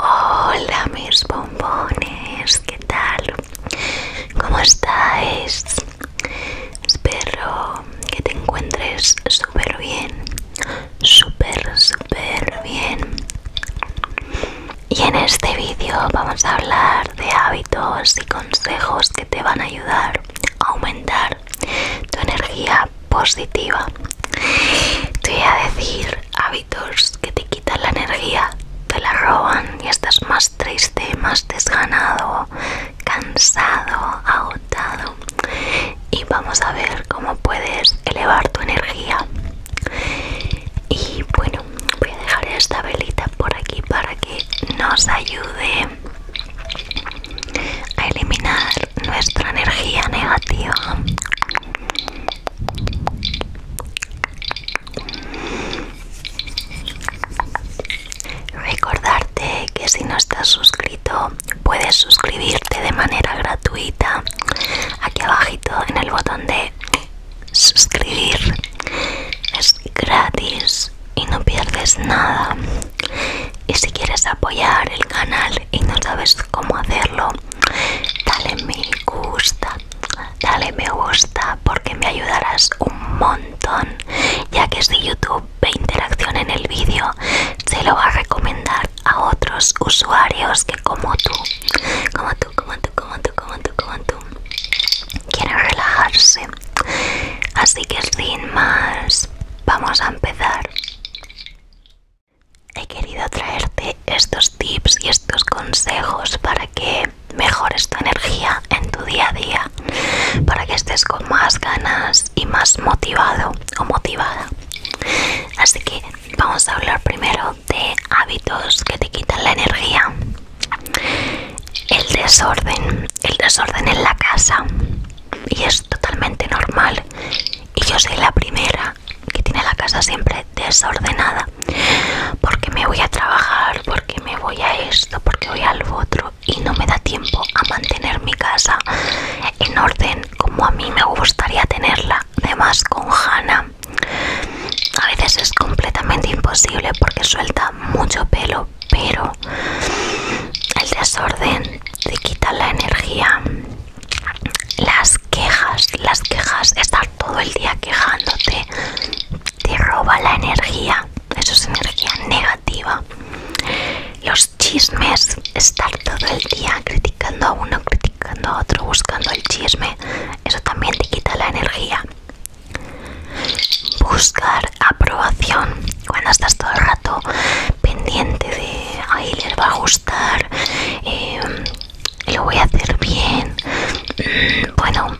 Hola mis bombones, ¿qué tal? ¿Cómo estáis? Espero que te encuentres súper bien, súper, súper bien. Y en este vídeo vamos a hablar de hábitos y consejos que te van a ayudar a aumentar tu energía positiva. Te voy a decir hábitos que te quitan la energía, te la roban y estás más triste, más desganado, cansado, agotado y vamos a ver cómo puedes elevar tu energía. Y bueno, voy a dejar esta velita por aquí para que nos ayude a eliminar nuestra energía negativa. Recordarte que si no estás suscrito puedes suscribirte de manera gratuita aquí abajito en el botón de suscribir. Es gratis y no pierdes nada. Y si quieres apoyar el canal y no sabes cómo hacerlo, dale me gusta dale me gusta porque me ayudarás un montón, ya que si YouTube ve interacción en el vídeo, se lo va a recomendar a otros usuarios que como tú, como tú, como tú, como tú, como tú, como tú, quieren relajarse. Así que sin más, vamos a empezar. He querido traerte estos tips y estos consejos para que mejores tu energía en tu día a día para que estés con más ganas y más motivado o motivada. Así que vamos a hablar primero de hábitos que te quitan la energía. El desorden, el desorden en la casa. Y es totalmente normal. Y yo soy la primera que tiene la casa siempre desordenada porque me voy a trabajar, porque me voy a esto, porque voy al otro y no me da tiempo a mantener mi casa en orden como a mí me gustaría tenerla. Además con Hannah a veces es completamente imposible porque suelta mucho pelo, pero el desorden te quita la energía. Las quejas, las quejas, estar todo el día quejándote te roba la energía, eso es energía negativa. Los chismes, estar todo el día criticando a uno, criticando a otro, buscando el chisme, eso también te quita la energía. Buscar aprobación, cuando estás todo el rato pendiente de, ahí les va a gustar, eh, lo voy a hacer bien, mm, bueno,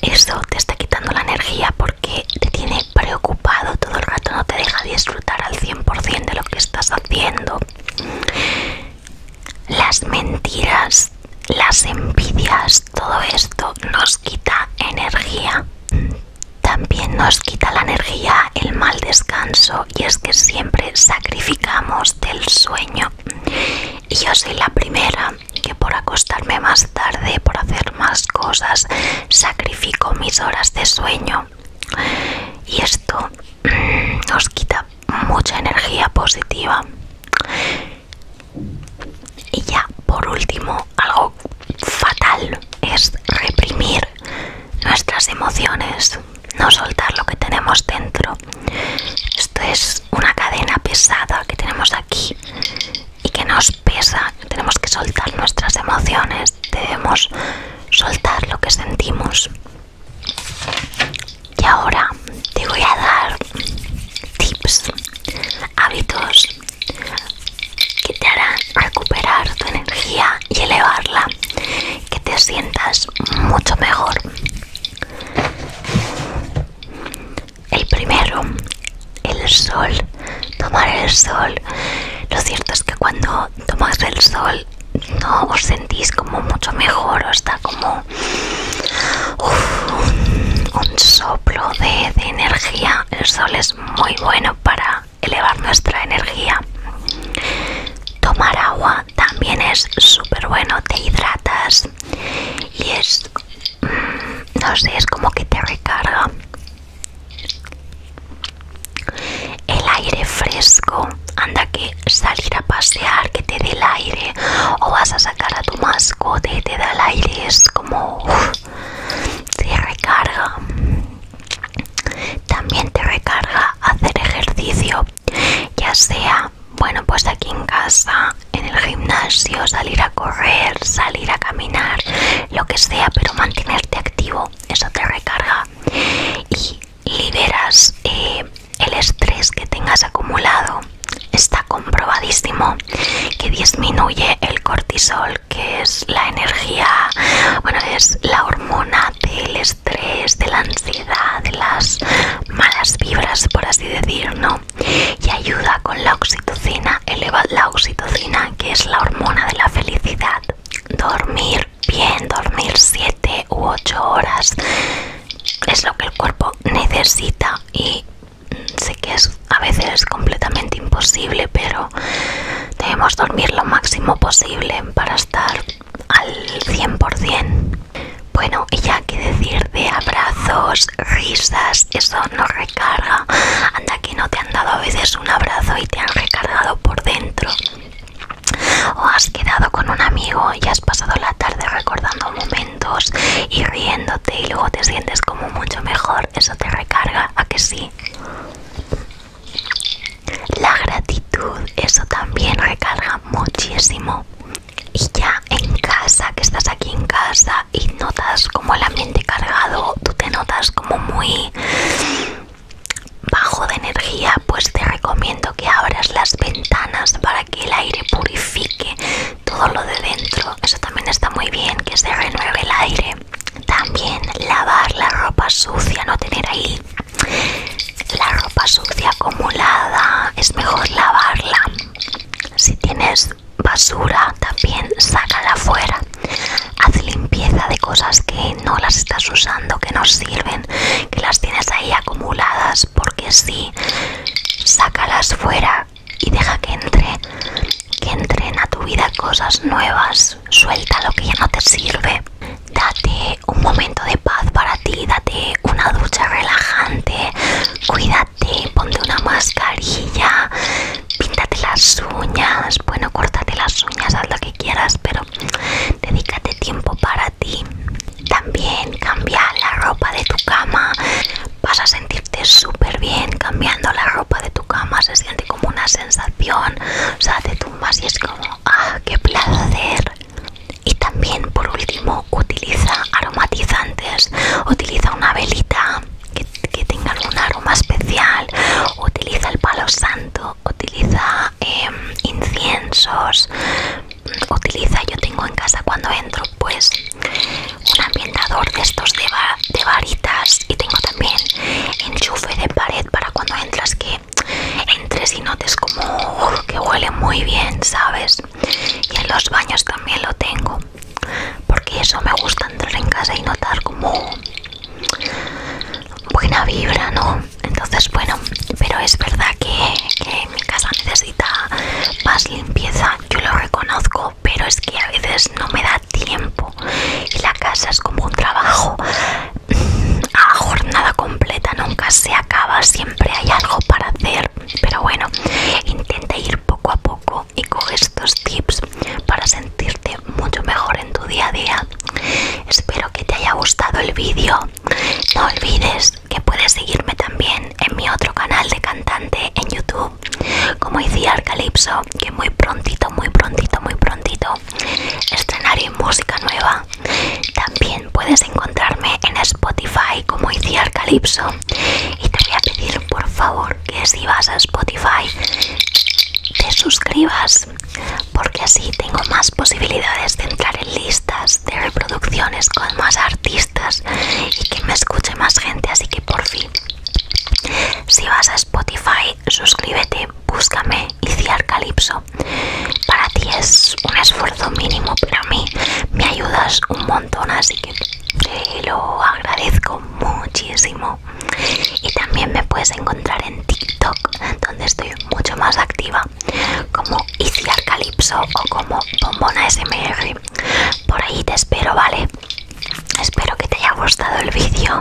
eso te está quitando la energía porque te tiene preocupado todo el rato, no te deja disfrutar al 100% de lo que estás haciendo. Las mentiras, las envidias, todo esto nos quita energía. También nos quita la energía el mal descanso y es que siempre sacrificamos del sueño y yo soy la primera que por acostarme más tarde, por hacer más cosas, sacrifico mis horas de sueño. Y esto mm, nos quita mucha energía positiva. Y ya, por último, algo fatal es reprimir nuestras emociones no soltar lo que tenemos dentro. Esto es una cadena pesada que tenemos aquí y que nos pesa. Tenemos que soltar nuestras emociones, debemos soltar lo que sentimos. Y ahora te voy a dar tips, hábitos que te harán recuperar tu energía y elevarla que te sientas mucho mejor. El primero, el sol, tomar el sol. Lo cierto es que cuando tomas el sol no os sentís como mucho mejor, o está como un, soplo de energía. El sol es muy bueno para elevar nuestra energía tomar agua también es súper bueno, te hidratas y es, mm, no sé, es como que te recarga. El aire fresco, anda que salir a pasear, que te dé el aire, o vas a sacar a tu mascota y te da el aire, es como te recarga. También te recarga hacer ejercicio, ya sea, bueno, pues aquí en casa, en el gimnasio, salir a correr, salir a caminar, lo que sea, pero mantenerte activo, eso te recarga y liberas eh, el estrés que tengas acumulado. Está comprobadísimo que disminuye el cortisol, que es la energía, bueno, es la hormona del estrés de la ansiedad, de las malas vibras, por así decir, ¿no? Y ayuda con la oxitocina, eleva la oxitocina, que es la hormona de la felicidad. Dormir bien, dormir 7 u 8 horas es lo que el cuerpo necesita y sé que a veces es completamente imposible, pero Debemos dormir lo máximo posible para estar al 100%. Bueno, y ya que decir de abrazos, risas, eso nos recarga. Anda que no te han dado a veces un abrazo y te han recargado por dentro. O has quedado con un amigo y has pasado la tarde recordando momentos y riéndote y luego te sientes como mucho mejor. Eso te recarga, ¿a que sí? La gratitud, eso también recarga muchísimo. Y ya en casa, que estás aquí en casa y notas como el ambiente cargado, tú te notas como muy bajo de energía, pues te recomiendo que abras las ventanas para que el aire purifique todo lo de dentro. Eso también está muy bien, que se renueve el aire también lavar la ropa sucia, no tener ahí la ropa sucia acumulada, es mejor lavarla. Si tienes basura, también sácala fuera. Haz limpieza de cosas que no las estás usando, que no sirven, que las tienes ahí acumuladas, porque sí, sácalas fuera y deja que entre, que entren a tu vida cosas nuevas suelta lo que ya no te sirve, date un momento de paz para ti, date una ducha relajante, cuídate, ponte una mascarilla, píntate las uñas, bueno, córtate las uñas, haz lo que quieras, pero dedícate tiempo para ti. También cambia la ropa de tu cama, vas a sentirte súper bien cambiando la ropa de tu cama, se siente una sensación, o sea, te tumbas y es como, ah, qué placer. Y también por último utiliza aromatizantes, utiliza una velita que, tenga algún aroma especial, utiliza el palo santo, utiliza em, inciensos, utiliza, yo tengo en casa cuando entro pues una de estos de, varitas y tengo también enchufe de pared para cuando entras que entres y notes como que huele muy bien, ¿sabes? Y en los baños también lo tengo porque eso me gusta entrar en casa y notar como buena vibra, ¿no? Entonces, bueno, pero es verdad que mi casa necesita más limpieza, yo lo reconozco, pero es que a veces no me da tiempo y la casa es como un trabajo mm, a jornada completa, nunca se acaba, siempre hay algo para hacer. Pero bueno, intenta ir poco a poco y coge estos tips para sentirte mucho mejor en tu día a día. Espero que te haya gustado el vídeo. No olvides que puedes seguirme también en mi otro canal de cantante en YouTube como decía Calypso, que muy prontito, muy prontito, muy prontito estrenaré música nueva. También puedes encontrarme en Spotify como decía Calypso. Y te voy a pedir por favor que si vas a Spotify te suscribas porque así tengo más posibilidades de entrar en listas de reproducciones con más artistas y que me escuche más gente así que por fin si vas a Spotify, suscríbete, búscame Iciar Calypso. Para ti es un esfuerzo mínimo, pero a mí me ayudas un montón, así que te lo agradezco muchísimo. Y también me puedes encontrar en TikTok, donde estoy mucho más activa, como Iciar Calypso o como Bombona SMR. Por ahí te espero, ¿vale? Espero que te haya gustado el vídeo.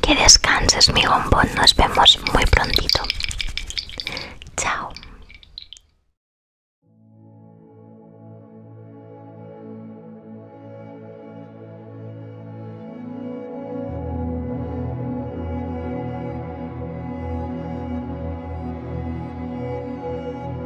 Que descanses, mi bombón. Nos vemos muy prontito. Chao.